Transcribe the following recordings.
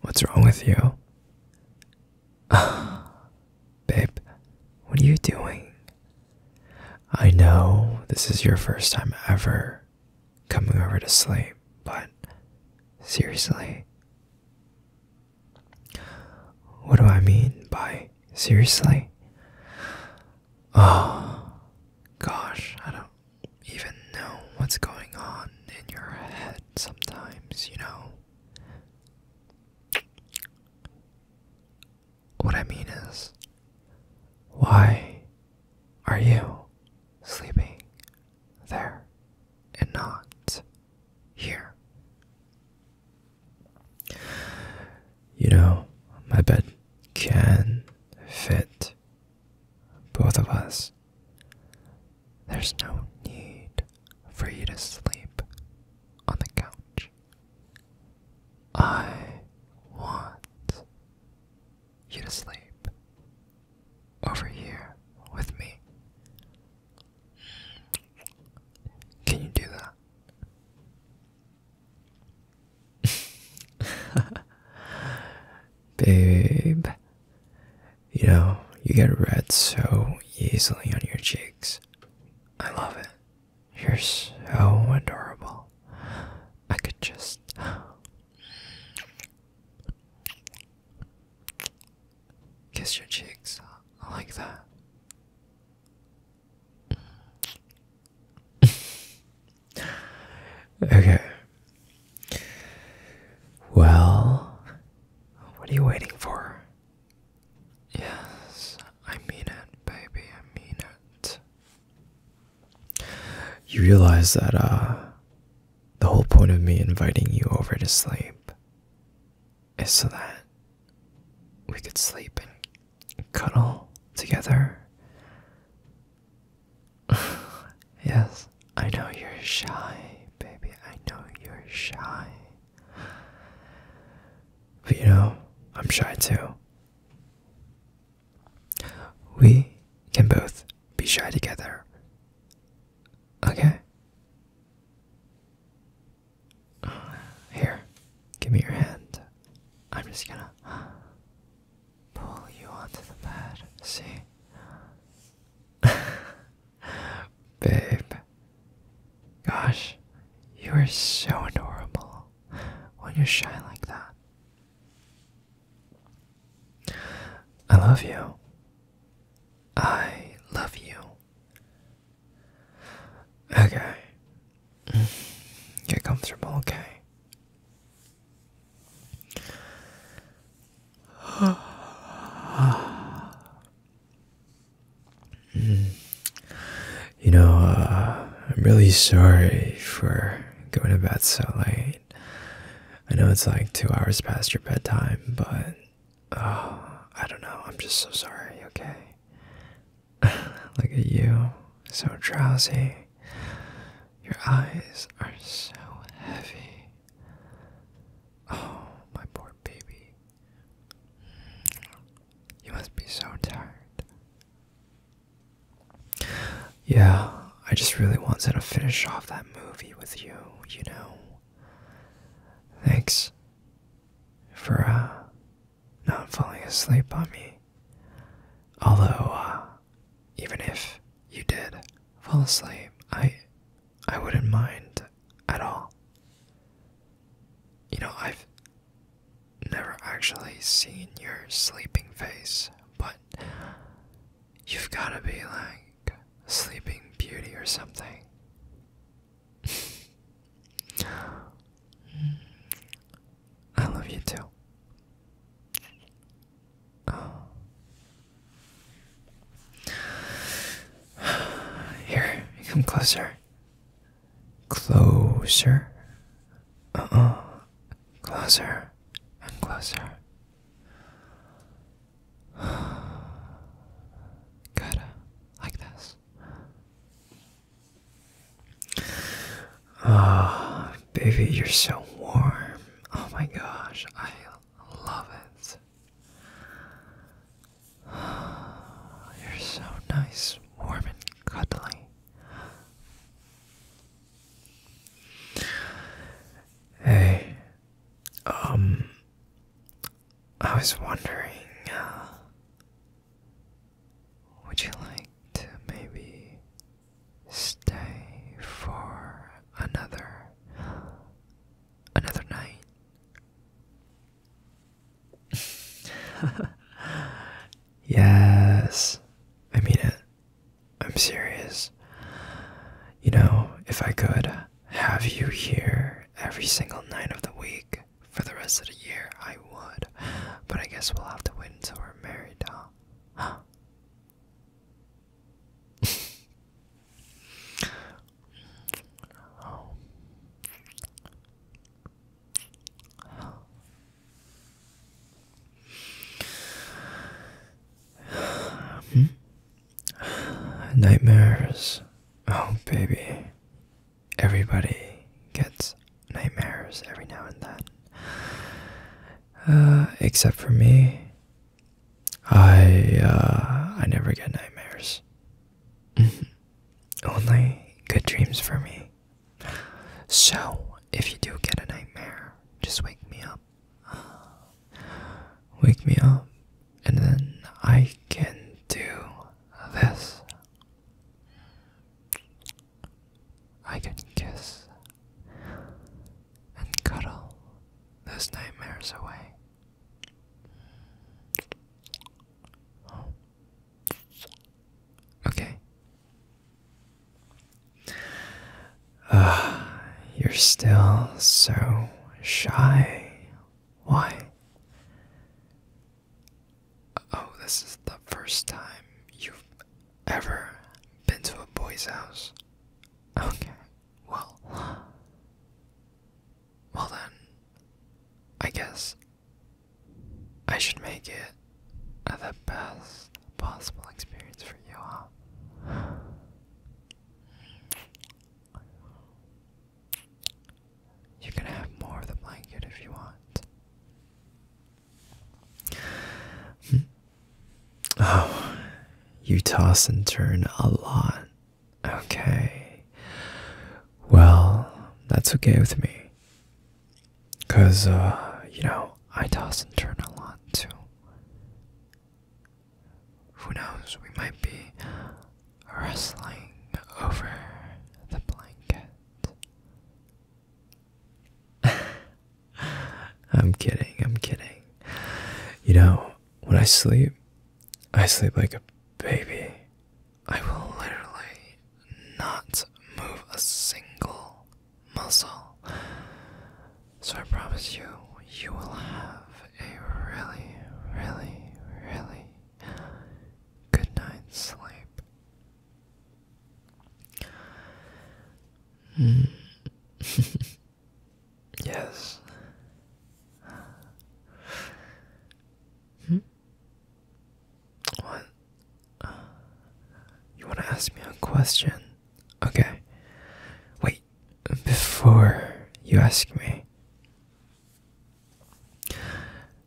What's wrong with you? Babe, what are you doing? I know this is your first time ever coming over to sleep, but seriously. What do I mean by seriously? Oh, gosh, I don't even know what's going on in your head sometimes, you know? What I mean is, why are you sleeping there and not here? You know, my bed can fit both of us. There's no need for you to sleep on the couch. I want you to sleep over here with me. Can you do that? Babe, you know, you get red so easily on your cheeks. I love it. You're so adorable. I could just. Kiss your cheeks. I like that. Okay. Well, what are you waiting for? Yes, I mean it, baby. I mean it. You realize that uh, the whole point of me inviting you over to sleep is so that we could sleep and cuddle together yes, I know you're shy, baby. I know you're shy. But you know, I'm shy too. We can both be shy together. Okay? Here, give me your hand. I'm just gonna pull you onto the bed. See? Babe. Gosh, you are so adorable when you're shy like that. I love you. I love you. Okay. Get mm, comfortable, okay? You know, uh, I'm really sorry for going to bed so late. I know it's like two hours past your bedtime, but oh, I don't know. I'm just so sorry, okay? Look at you, so drowsy. Your eyes are so heavy. Oh, my poor baby. Mm, you must be so tired. Yeah, I just really wanted to finish off that movie with you, you know. Thanks for uh, not falling asleep on me. Although, uh, even if you did fall asleep, I, I wouldn't mind at all. You know, I've never actually seen your sleeping face, but you've got to be like Sleeping Beauty or something. I love you too. Oh. Here, come closer. Closer. Uh oh. Closer and closer. Good. Like this. Ah, baby, you're so warm. Oh my gosh, I love it. you're so nice, warm, and cuddly. Hey, um, I was wondering, uh, would you like to maybe stay for another another night? yes. I mean it. Uh, I'm serious. You know, if I could have you here every single night of the week, for the rest of the year I would. But I guess we'll have to wait until we're married, huh? Huh? Hmm? Nightmares. Oh, baby everybody gets nightmares every now and then. Uh, except for me, I uh, I never get nightmares. Only good dreams for me. So if you do get a nightmare, just wake me up. Wake me up, and then I can do this I can kiss and cuddle those nightmares away. Okay. Uh, you're still so shy. Why? Oh, this is the first time you've ever been to a boy's house. Okay, well. Well then, I guess I should make it the best possible experience for you, huh? You can have more of the blanket if you want. Hmm. Oh, you toss and turn a lot. Okay. Well, that's okay with me. Because, uh, you know, I toss and turn a lot too. Who knows? We might be rustling over the blanket. I'm kidding, I'm kidding. You know, when I sleep, I sleep like a baby. I will literally not move a single muscle. So I promise you, you will have a really, really, really good night's sleep. Mm. yes. Hmm? What? You want to ask me a question? Okay. Wait, before you ask me,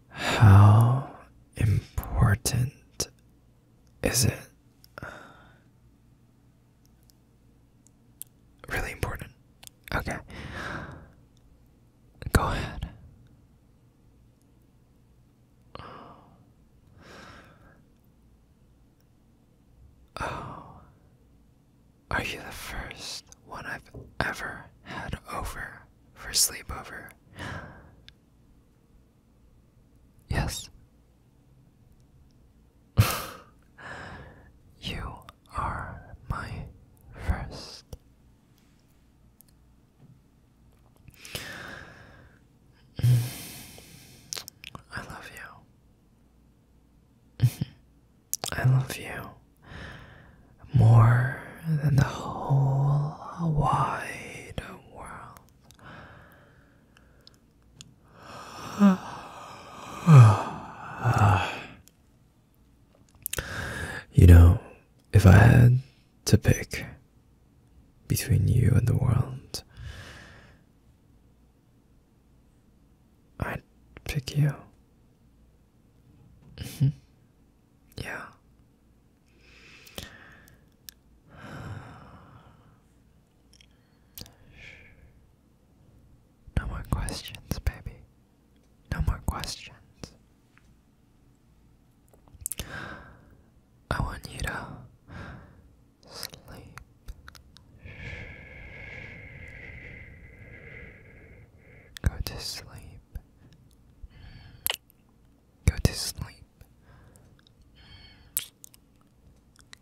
how important is it? Really important. Okay. Go ahead. Oh, are you the first one I've ever had over for sleepover? Yes. you are my first. I love you. I love you more than the whole wide world. you know, if I had to pick between you and the world, I'd pick you. Mm-hmm. yeah. No more questions, baby. No more questions. I want you to sleep. Go to sleep. Go to sleep.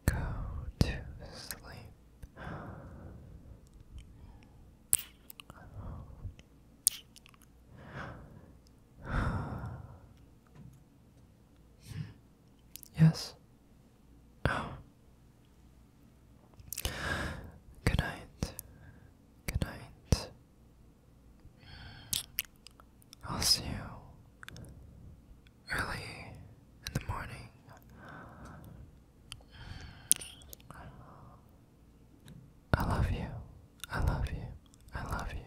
Go to sleep. yes, Oh. Good night. Good night. I'll see you early in the morning. I love you. I love you. I love you.